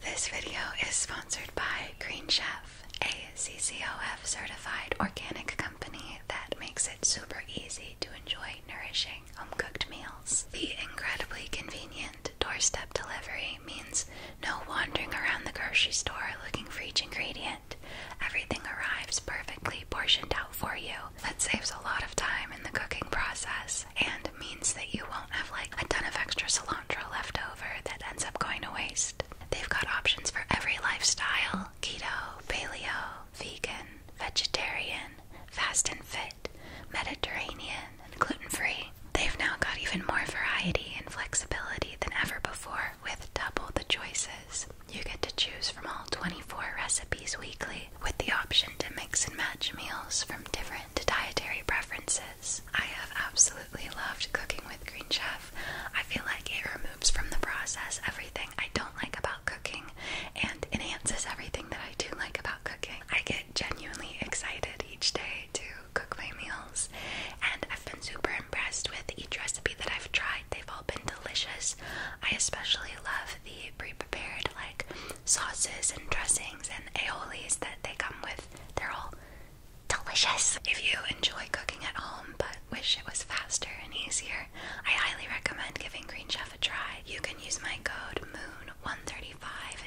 This video is sponsored by Green Chef, a CCOF certified organic company that makes it super easy to enjoy nourishing home cooked meals. The incredibly convenient doorstep delivery means no wandering around the grocery store looking for each ingredient. Everything arrives perfectly portioned out for you. That saves a lot of time in the cooking process and means that you won't have like a ton of extra cilantro left over that ends up going to waste. They've got options for every lifestyle keto, paleo, vegan, vegetarian, fast and fit, Mediterranean, and gluten free. They've now got even more variety and flexibility than ever before with double the choices. You get to choose from all 24 recipes weekly with the option to mix and match meals from different dietary preferences I have absolutely loved cooking with Green Chef. I feel like it removes from the process everything I don't like about cooking and enhances everything that I do like about cooking. I get genuinely excited each day to cook my meals, and I've been super impressed with each recipe that I've tried. They've all been delicious. I especially love the pre prepared, like sauces and dressings and aiolis that they come with. They're all delicious. If you enjoy cooking at home but wish it was faster and easier, I highly recommend giving Green Chef a try. You can use my code MOON135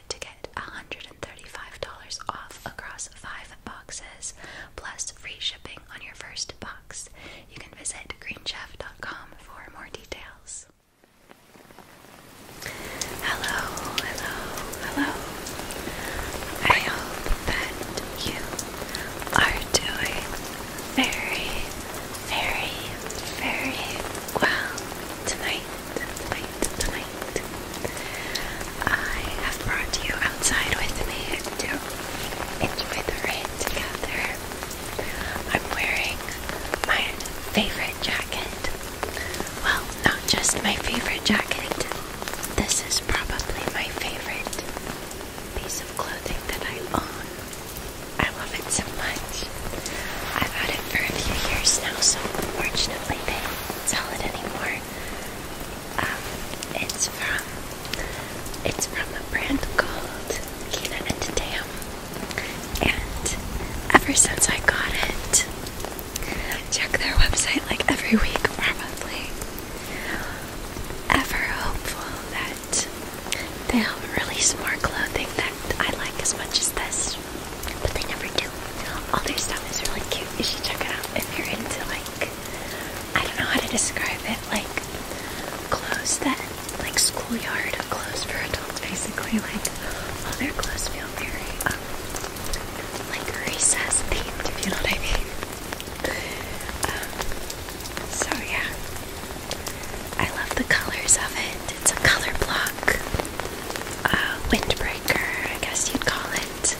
to get $135 off across five boxes plus free shipping on your first box. You can visit greenchef.com for more details. Hello, hello, hello. I hope that you are doing very, very, very well tonight, tonight, tonight. I have brought you outside with me to enjoy the rain together. I'm wearing my favorite jacket well, not just my favorite jacket. This is probably my favorite piece of clothing that I own. I love it so much. I've had it for a few years now, so unfortunately they don't sell it anymore. Um, it's from it's from a brand called Kina and Tam, and ever since I got it, Check their website like every week, probably. Ever hopeful that they'll release more clothing that I like as much as this, but they never do. All their stuff is really cute. You should check it out if you're into like I don't know how to describe it, like clothes that like schoolyard clothes for adults, basically. Like all their clothes feel very um, like recess themed, if you know what I mean. Um, so yeah, I love the colors of it. It's a color block, uh, windbreaker, I guess you'd call it.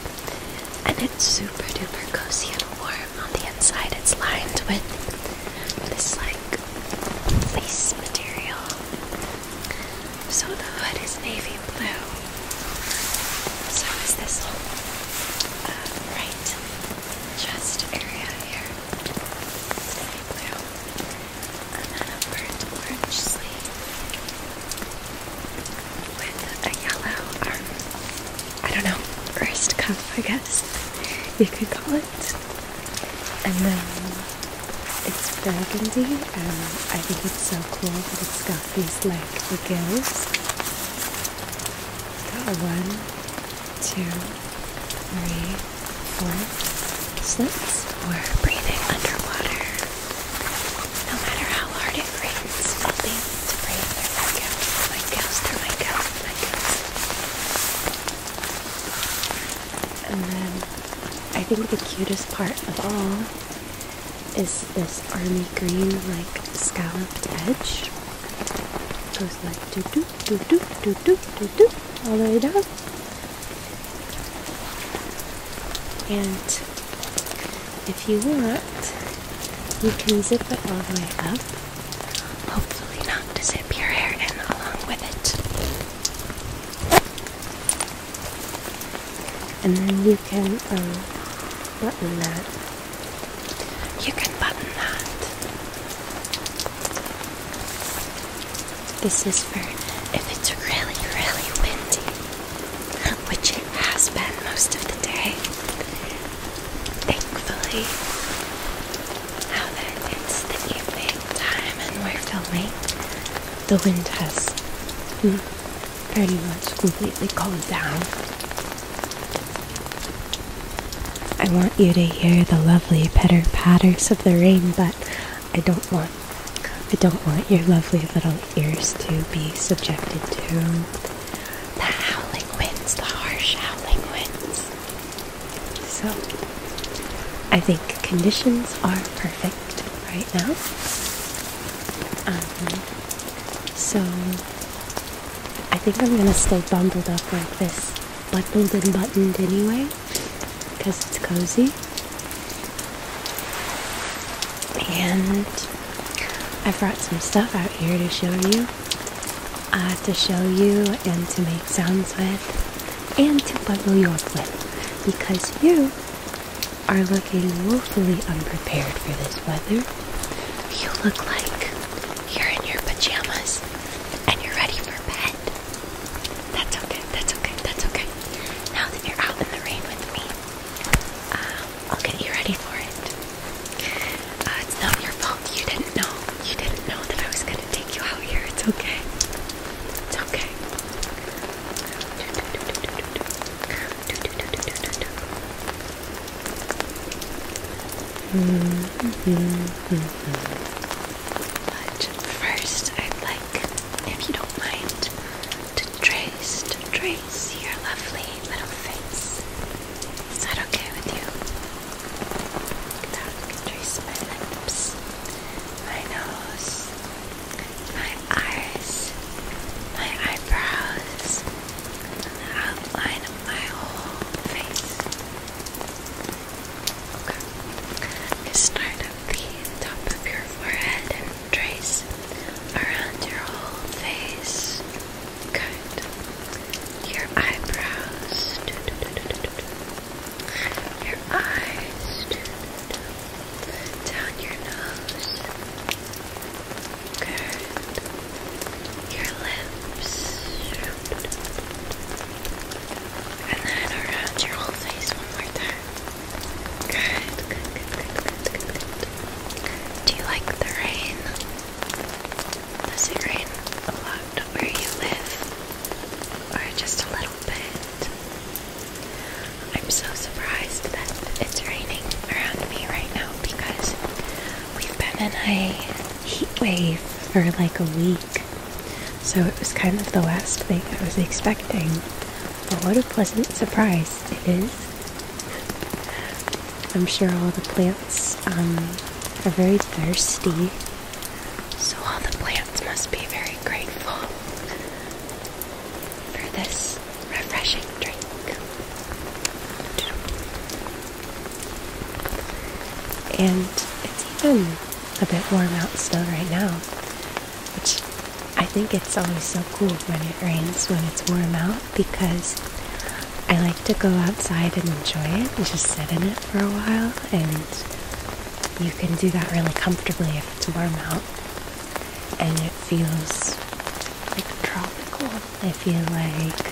And it's super duper cozy and warm on the inside. It's lined with this like fleece material so the hood is navy blue. So is this whole uh, right chest area here. And then a burnt orange sleeve with a yellow arm. I don't know, wrist cuff, I guess you could call it. And then it's burgundy and I think it's so cool that it's got these like gills. one, two, three, four slits for breathing underwater. No matter how hard it rains, i breathe my gills, my gills, my gills, my gills. And then I think the cutest part of all is this army green like scalloped edge. goes like doo doo doo doo doo doo doo doo all the way down. And if you want, you can zip it all the way up. Hopefully not to zip your hair in along with it and then you can um, button that. You can button that. This is for if it's really, really windy, which it has been most of the day. Thankfully, now that it's the evening time and we're filming, the wind has pretty mm, much completely calmed down. I want you to hear the lovely pitter patters of the rain, but I don't want I don't want your lovely little ears to be subjected to the howling winds, the harsh howling winds. So I think conditions are perfect right now. Um, so I think I'm gonna stay bundled up like this, bundled and buttoned anyway, because it's cozy. And I brought some stuff out here to show you, uh, to show you and to make sounds with, and to bundle you up with, because you are looking woefully unprepared for this weather. You look like you're in your pajamas and you're ready for bed. That's okay, that's okay, that's okay. Now that you're out in the rain with me, uh, I'll get you ready for it. Uh, it's not your fault. You didn't know. You didn't know that I was going to take you out here. It's okay. It's okay. But first, I'd like, if you don't mind, to trace, trace your lovely little face. Is that okay with you? Look trace my lips, my nose, my eyes, my eyebrows, outline my whole face. Okay. Start at the top of your forehead and trace around your whole face. Good. Your eyebrows. Your eyes down your nose, good, your lips, and then around your whole face one more time. Good, good, good, good, good, good, Do you like the rain? Does it rain a lot where you live? Or just a little bit? I'm so surprised that it's raining around me right now because we've been in a heat wave for like a week. So it was kind of the last thing I was expecting. But what a pleasant surprise it is. I'm sure all the plants um, are very thirsty. So all the plants must be very grateful for this refreshing drink. And it's even a bit warm out still right now, which I think it's always so cool when it rains when it's warm out because I like to go outside and enjoy it and just sit in it for a while and you can do that really comfortably if it's warm out and it feels like tropical. I feel like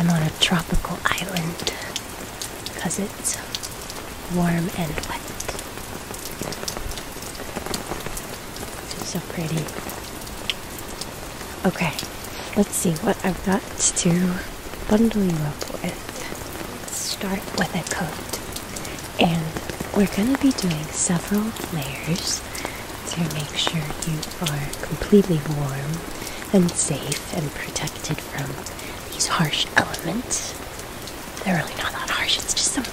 I'm on a tropical island because it's warm and wet. So pretty. Okay, let's see what I've got to bundle you up with. start with a coat. And we're going to be doing several layers to make sure you are completely warm and safe and protected from these harsh elements. They're really not that harsh. It's just some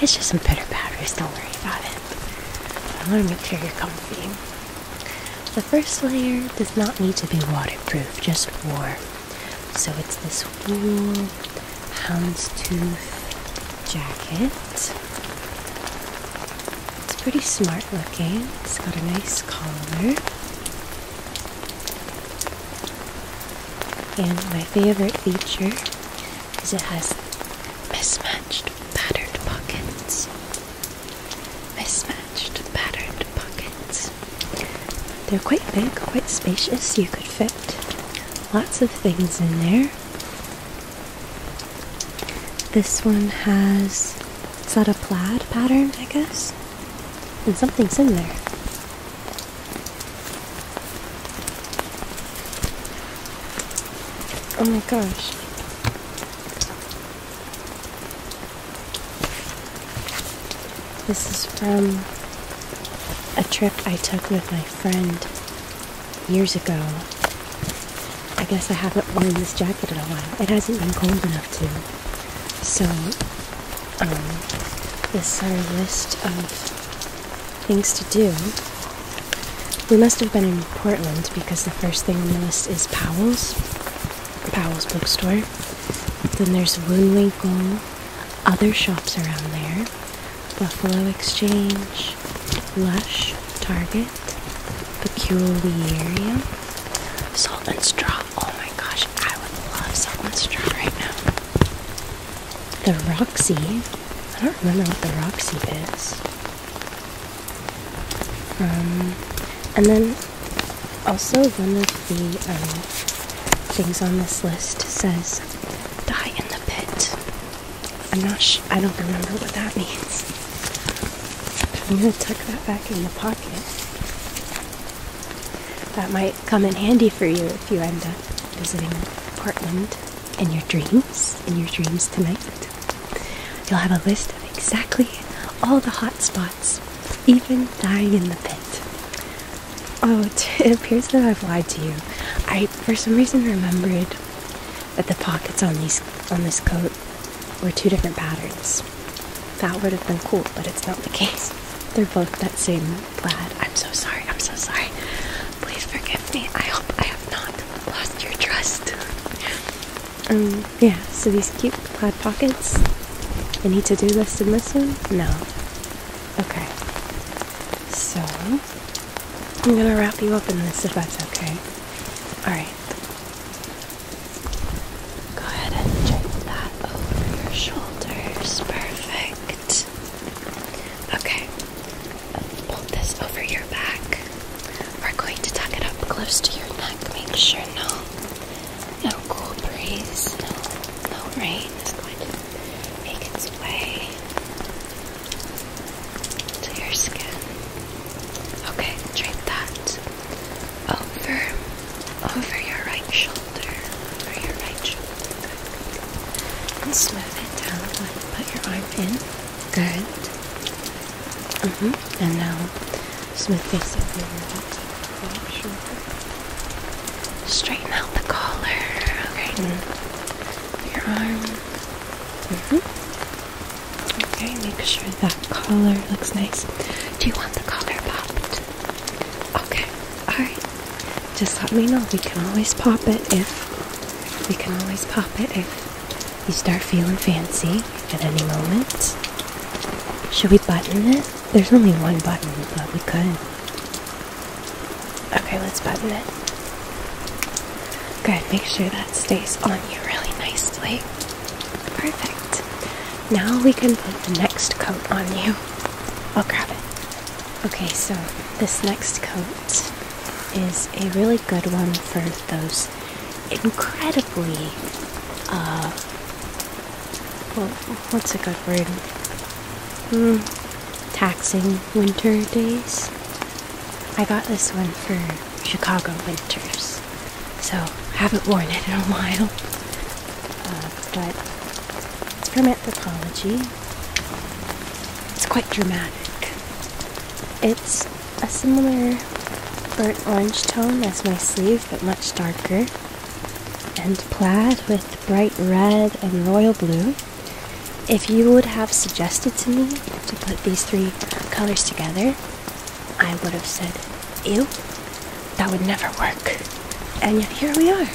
it's just some pitter patters, don't worry about it. I want to make sure you're comfy. The first layer does not need to be waterproof, just warm. So it's this wool houndstooth jacket. It's pretty smart looking, it's got a nice collar. And my favorite feature is it has mismatched patterned pockets. Mismatched patterned pockets. They're quite big, quite spacious. You could fit lots of things in there. This one has, is that a plaid pattern, I guess? And something similar. Oh my gosh. This is from a trip I took with my friend years ago. I guess I haven't worn this jacket in a while. It hasn't been cold enough to. So, this is our list of things to do. We must have been in Portland because the first thing on the list is Powell's, Powell's bookstore. Then there's Woonwinkle, other shops around there. Buffalo Exchange, Lush, Target, Peculiarium, Salt and Straw. Oh my gosh, I would love Salt and Straw right now. The Roxy. I don't remember what the Roxy is. Um, and then also one of the um, things on this list says Die in the pit. I'm not sure. I don't remember what that means. I'm gonna tuck that back in the pocket. That might come in handy for you if you end up visiting Portland in your dreams, in your dreams tonight. You'll have a list of exactly all the hot spots, even dying in the pit. Oh, it, appears that I've lied to you. I, for some reason, remembered that the pockets on these on this coat were two different patterns. That would have been cool, but it's not the case. They're both that same plaid. I'm so sorry. I'm so sorry. Please forgive me. I hope I have not lost your trust. Um, yeah. So these cute plaid pockets. Any to-do list in this one? No. Okay. So, I'm gonna wrap you up in this if that's okay. Alright. Go ahead and check that over your shoulders. Perfect. Okay. Pull this over your back. We're going to tuck it up close to your neck. Make sure no, no cool breeze, no, no rain make its way to your skin. Okay, drape that over over your right shoulder, over your right shoulder. Good. And smooth it down. Put your arm in. Good. Mm -hmm. And now smooth face over your left shoulder. Straighten out the collar. Okay. Mm-hmm. Your arm. -hmm. Okay, make sure that collar looks nice. Do you want the collar popped? Okay. Alright. Just let me know. We can always pop it if we can always pop it if you start feeling fancy at any moment. Should we button it? There's only one button, but we could. Okay, let's button it. Good, make sure that stays on you really nicely. Perfect. Now we can put the next coat on you. I'll grab it. Okay, so this next coat is a really good one for those incredibly, uh, what's a good word? Mm, taxing winter days. I got this one for Chicago winters, so I haven't worn it in a while. Uh, but it's from anthropology. It's quite dramatic. It's a similar burnt orange tone as my sleeve, but much darker, and plaid with bright red and royal blue. If you would have suggested to me to put these three colors together, I would have said, ew, that would never work. And yet here we are.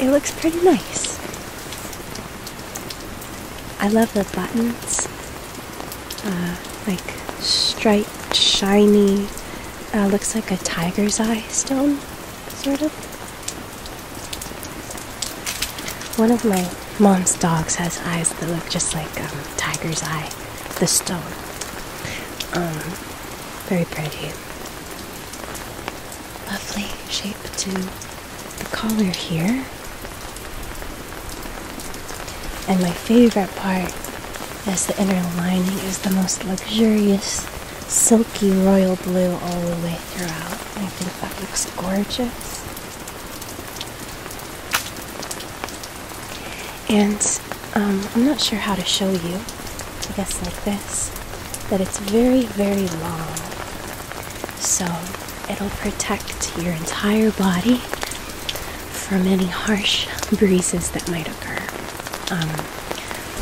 It looks pretty nice. I love the buttons. Uh, like striped, shiny, uh, looks like a tiger's eye stone sort of. One of my mom's dogs has eyes that look just like um, Tiger's Eye, the stone. Um, very pretty. Lovely shape to the collar here. And my favorite part is the inner lining is the most luxurious, silky royal blue all the way it throughout. And I think that looks gorgeous. And um, I'm not sure how to show you, I guess like this, that it's very, very long. So it'll protect your entire body from any harsh breezes that might occur. Um,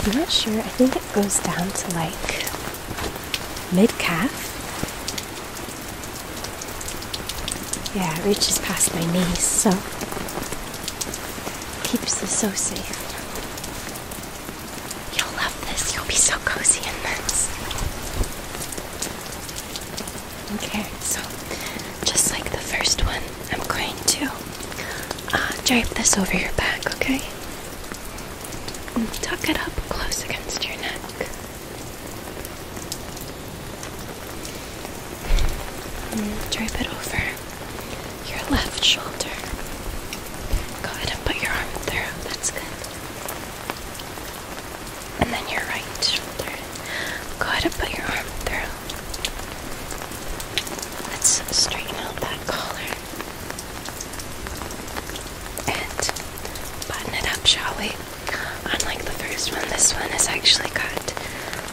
I'm not sure, I think it goes down to like Mid calf? Yeah, reaches past my knees, so keeps us so safe. You'll love this. You'll be so cozy in this. Okay, so just like the first one, I'm going to uh, drape this over your back, okay? and tuck it up close against your neck. drape it over your left shoulder. Go ahead and put your arm through, that's good. And then your right shoulder. Go ahead and put your arm through. Let's straighten out that collar. And button it up, shall we? Unlike the first one, this one has actually got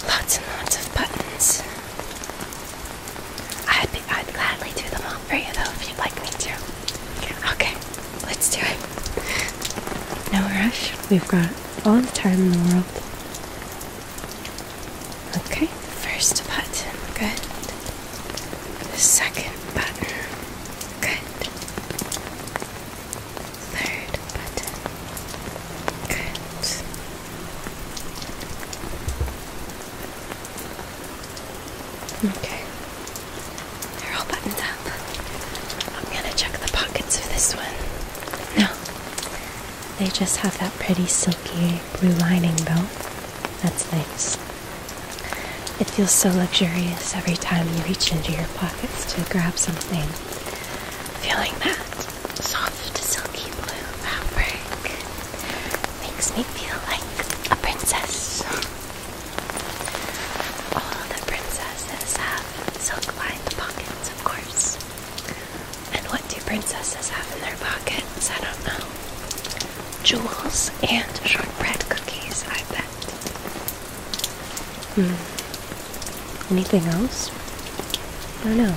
lots and lots of buttons. I'd, I'd gladly do them all for you though if you'd like me to. Okay, let's do it. No rush, we've got all the time in the world. Okay first button, good. second button, good. Third button, good. Okay, they're all buttoned up. I'm gonna check the pockets of this one. No, they just have that pretty silky blue lining, though. That's nice. It feels so luxurious every time you reach into your pockets to grab something. Feeling that soft, silky blue fabric makes me feel like a princess. All the princesses have silk lined pockets, of course. And what do princesses have in their pockets? I don't know jewels and shortbread cookies, I bet. Hmm. Anything else? I don't know.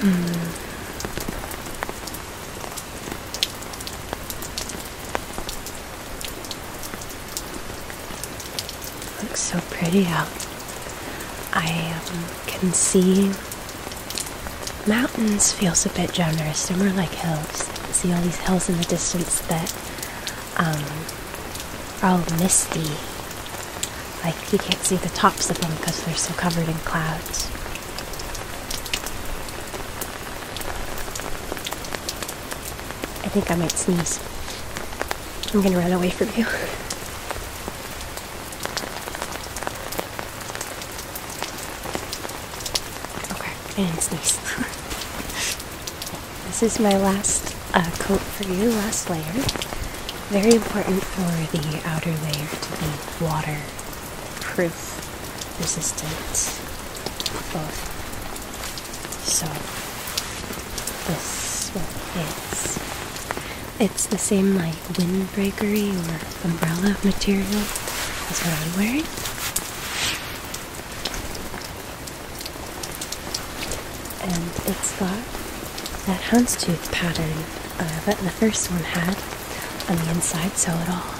Hmm. Looks so pretty out. I um, can see Mountains feels a bit generous. They're more like hills. see all these hills in the distance that um, are all misty. Like you can't see the tops of them because they're so covered in clouds. I think I might sneeze. I'm gonna run away from you. Okay, and nice. this is my last uh, coat for you, last layer. Very important for the outer layer to be waterproof, resistant, both. So this one is. It's the same light like windbreakery or umbrella material is what I'm wearing. And it's got that houndstooth pattern uh, that the first one had on the inside, so it all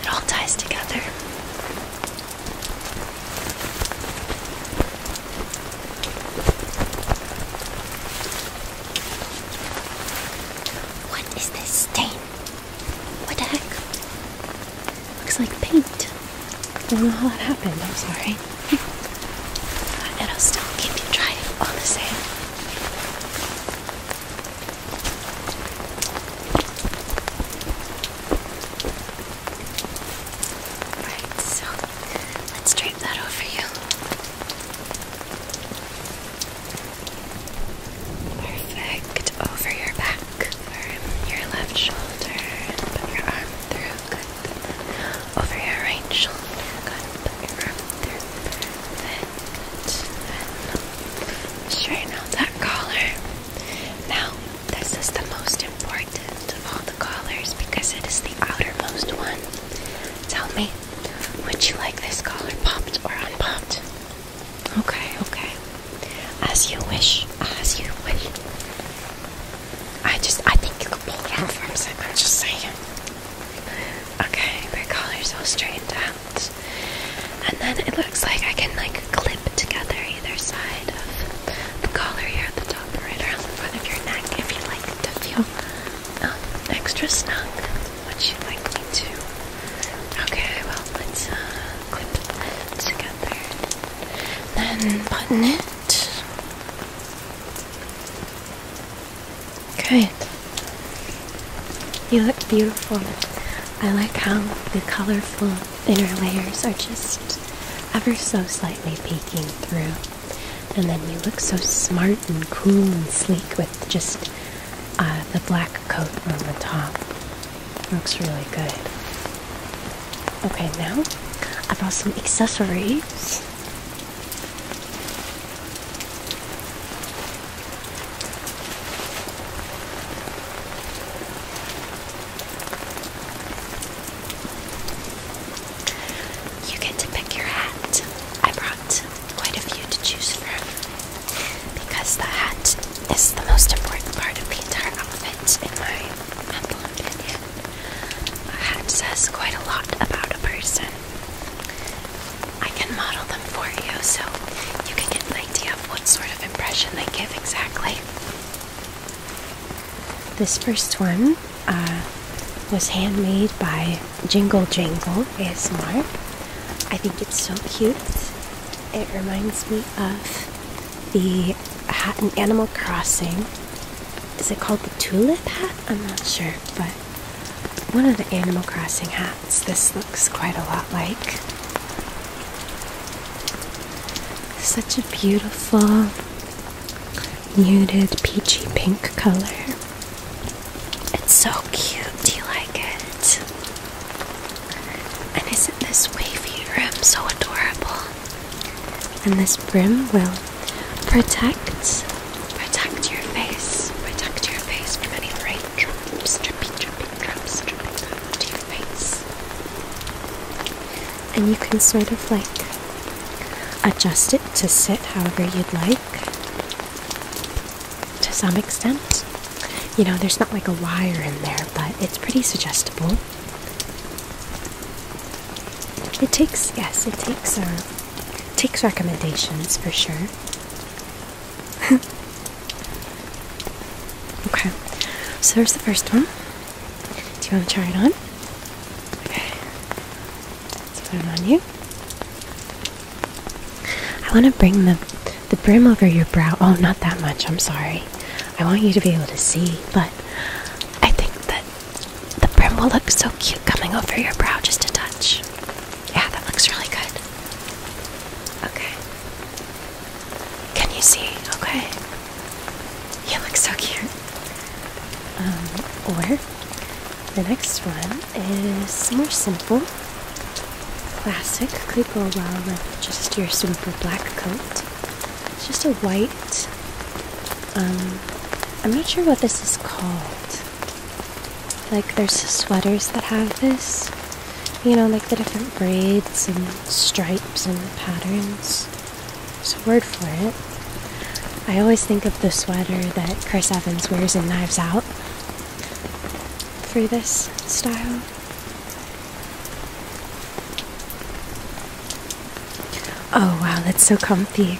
it all ties together. What is this stain? What the heck? Looks like paint. I don't know how that happened, I'm sorry. It'll still keep you dry all the same. Right, so let's drape that over you. Perfect. Over your back, arm your left shoulder, and put your arm through. Good. Over your right shoulder. Good. Put your arm through. Then, straighten out that collar. Now, this is the most important of all the collars because it is the outermost one. Tell me, would you like this collar popped or unpopped? Okay, okay. As you wish, as you wish. I just, I think you could pull it off. I'm, saying, I'm just saying. Okay, the collar's all straightened out. And then it looks like I can like clip together either side of the collar here at the top, right around the front of your neck, if you like to feel uh, extra snug. What you like me to? Okay, well, let's uh, clip that together. Then button it. Okay. You look beautiful. I like how the colorful inner layers are just ever so slightly peeking through. And then you look so smart and cool and sleek with just uh, the black coat on the top. Looks really good. Okay, now I brought some accessories. You get to pick your hat. I brought quite a few to choose from because the hat is the most important part of the entire outfit, in my humble opinion. A hat says quite a lot about a person. I can model them for you so you can get an idea of what sort of impression they give exactly. This first one uh, was handmade by Jingle Jangle ASMR. I think it's so cute. It reminds me of the hat in Animal Crossing. Is it called the tulip hat? I'm not sure, but one of the Animal Crossing hats this looks quite a lot like. Such a beautiful muted peachy pink color. It's so cute. Do you like it? And isn't this wavy rim so adorable? And this brim will protect protect your face. Protect your face from any raindrops, drippy, drippy, drops dripping down to your face. And you can sort of like adjust it to sit however you'd like to some extent. You know, there's not like a wire in there, but it's pretty suggestible. It takes, yes, it takes, uh, takes recommendations for sure. okay, so there's the first one. Do you want to try it on? Okay, let's put it on you. I want to bring the the brim over your brow. Oh, not that much. I'm sorry. I want you to be able to see, but I think that the brim will look so cute coming over your brow just a touch. Yeah, that looks really good. Okay. Can you see? Okay. You look so cute. Um, or the next one is more simple. Classic, could go well with just your simple black coat. just a white, um, I'm not sure what this is called. Like, there's sweaters that have this, you know, like the different braids and stripes and patterns. There's a word for it. I always think of the sweater that Chris Evans wears in Knives Out through this style. Oh wow, that's so comfy.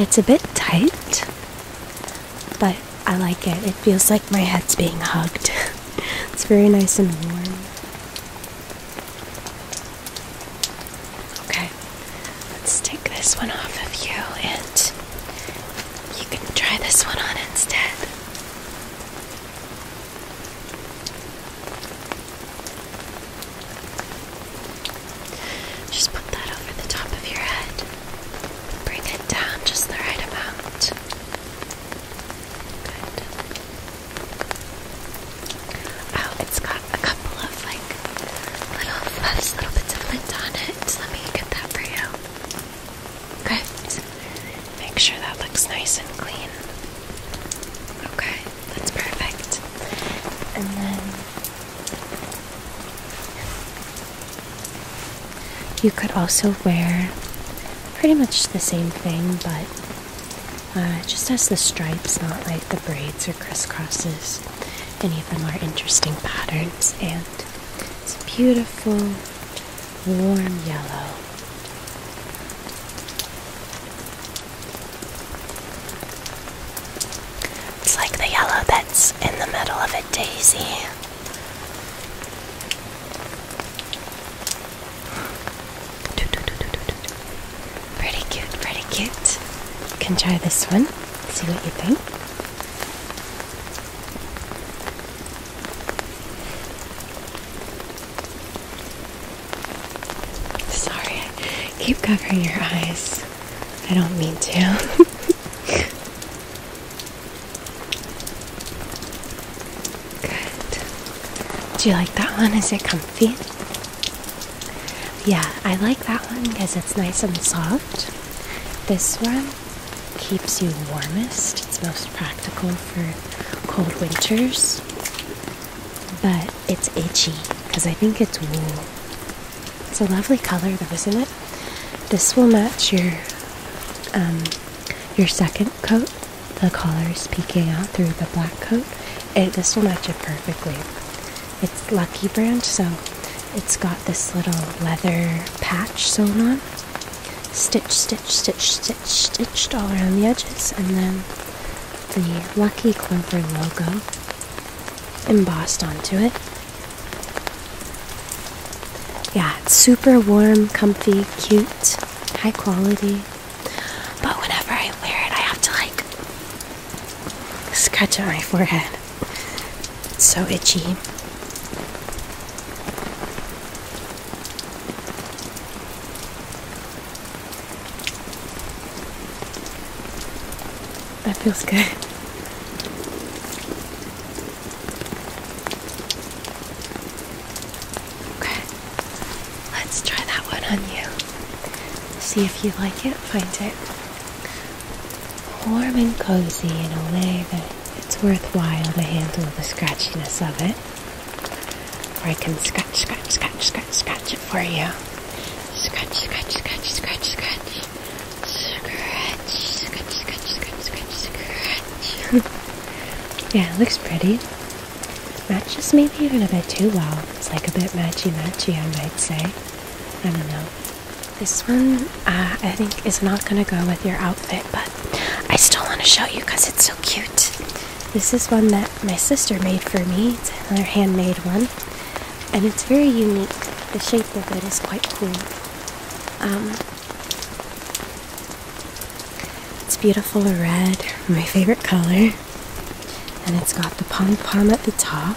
It's a bit tight, but I like it. It feels like my head's being hugged. it's very nice and warm. Okay, let's take this one off of you and you can try this one on instead. Just put that over the top of your head. Bring it down just the right amount. Good. Oh, it's got a couple of little fluffs, little bits of lint on it. So let me get that for you. Okay. Make sure that looks nice and clean. Okay, that's perfect. And then you could also wear pretty much the same thing, but. Uh, just has the stripes, not like the braids or crisscrosses. Any of the more interesting patterns, and it's beautiful, warm yellow. It's like the yellow that's in the middle of a daisy. Pretty cute, pretty cute. You can try this one, see what you think. Sorry, I keep covering your eyes. I don't mean to. Good. Do you like that one? Is it comfy? Yeah, I like that one because it's nice and soft. This one keeps you warmest. It's most practical for cold winters. But it's itchy because I think it's wool. It's a lovely color though, isn't it? This will match your um, your second coat. The collar is peeking out through the black coat. this will match it perfectly. It's Lucky Brand, so it's got this little leather patch sewn on. Stitch, stitch, stitch, stitch, stitched all around the edges, and then the Lucky Clover logo embossed onto it. Yeah, super warm, comfy, cute, high quality. But whenever I wear it, I have to like Scratch on my forehead. It's so itchy. That feels good. Okay, let's try that one on you. See if you like it, find it warm and cozy in a way that it's worthwhile to handle the scratchiness of it. Or I can scratch, scratch, scratch, scratch, scratch it for you. Scratch, scratch, scratch, scratch, scratch. Scratch, scratch, scratch, scratch, scratch, scratch. yeah, it looks pretty. Matches maybe even a bit too well. It's like a bit matchy-matchy, I might say. I don't know. This one, uh, I think, is not going to go with your outfit, but I still want to show you because it's so cute. This is one that my sister made for me. It's another handmade one, and it's very unique. The shape of it is quite cool. Um, it's beautiful red, my favorite color, and it's got the pom pom at the top.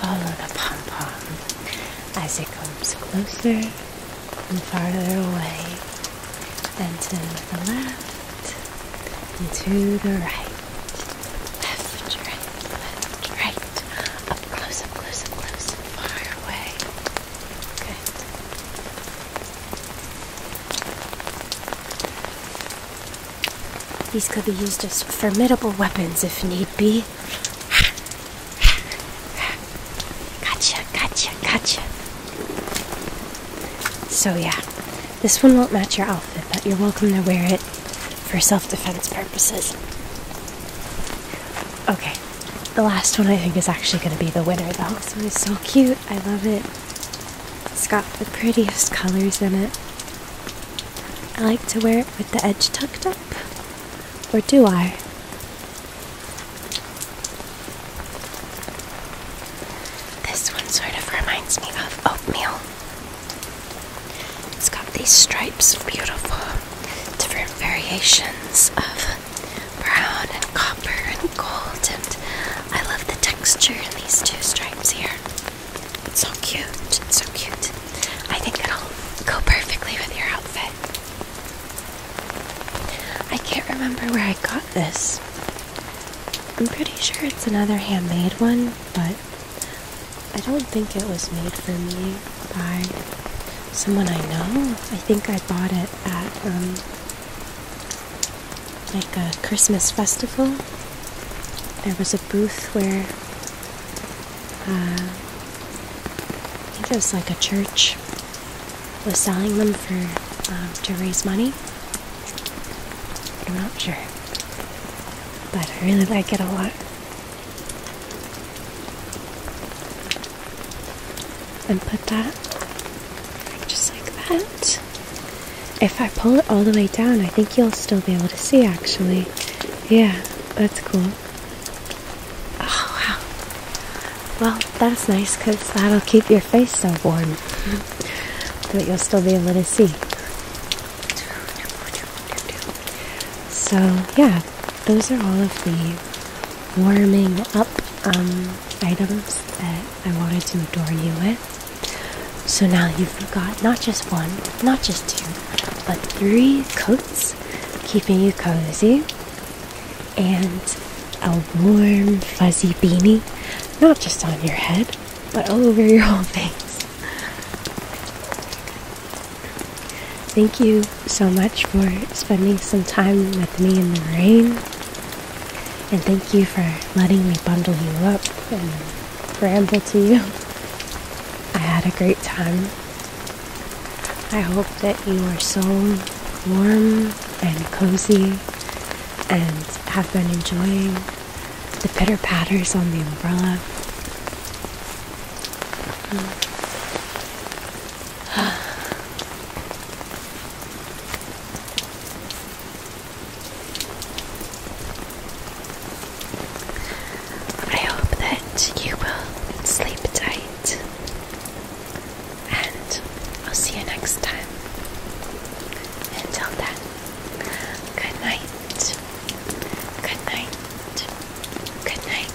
Follow the pom pom as it comes closer and farther away, then to the left and to the right. Left, right, left, right. Up close, up close, up close, and far away. Good. These could be used as formidable weapons if need be. Gotcha, gotcha, gotcha. So, yeah, this one won't match your outfit, but you're welcome to wear it for self defense purposes. Okay, the last one I think is actually going to be the winner, though. This one is so cute. I love it. It's got the prettiest colors in it. I like to wear it with the edge tucked up. Or do I? This one sort of reminds me of oatmeal. It's got these stripes, beautiful different variations of brown and copper and gold, and I love the texture in these two stripes here. It's so cute. It's so cute. I think it'll go perfectly with your outfit. I can't remember where I got this. I'm pretty sure it's another handmade one, but I don't think it was made for me by someone I know. I think I bought it at um, like a Christmas festival there was a booth where I think it was like a church was selling them for um, to raise money. I'm not sure, but I really like it a lot. And put that like, just like that. If I pull it all the way down, I think you'll still be able to see actually. Yeah, that's cool. Oh, Well, that's nice because that'll keep your face so warm but you'll still be able to see. So, yeah, those are all of the warming up um, items that I wanted to adorn you with. So now you've got not just one, not just two, but three coats keeping you cozy and a warm, fuzzy beanie, not just on your head, but all over your whole face. Thank you so much for spending some time with me in the rain. And thank you for letting me bundle you up ramble to you. I had a great time. I hope that you are so warm and cozy and have been enjoying the pitter patters on the umbrella. I hope that you will sleep tight, and I'll see you next time. Until then, good night, good night, good night.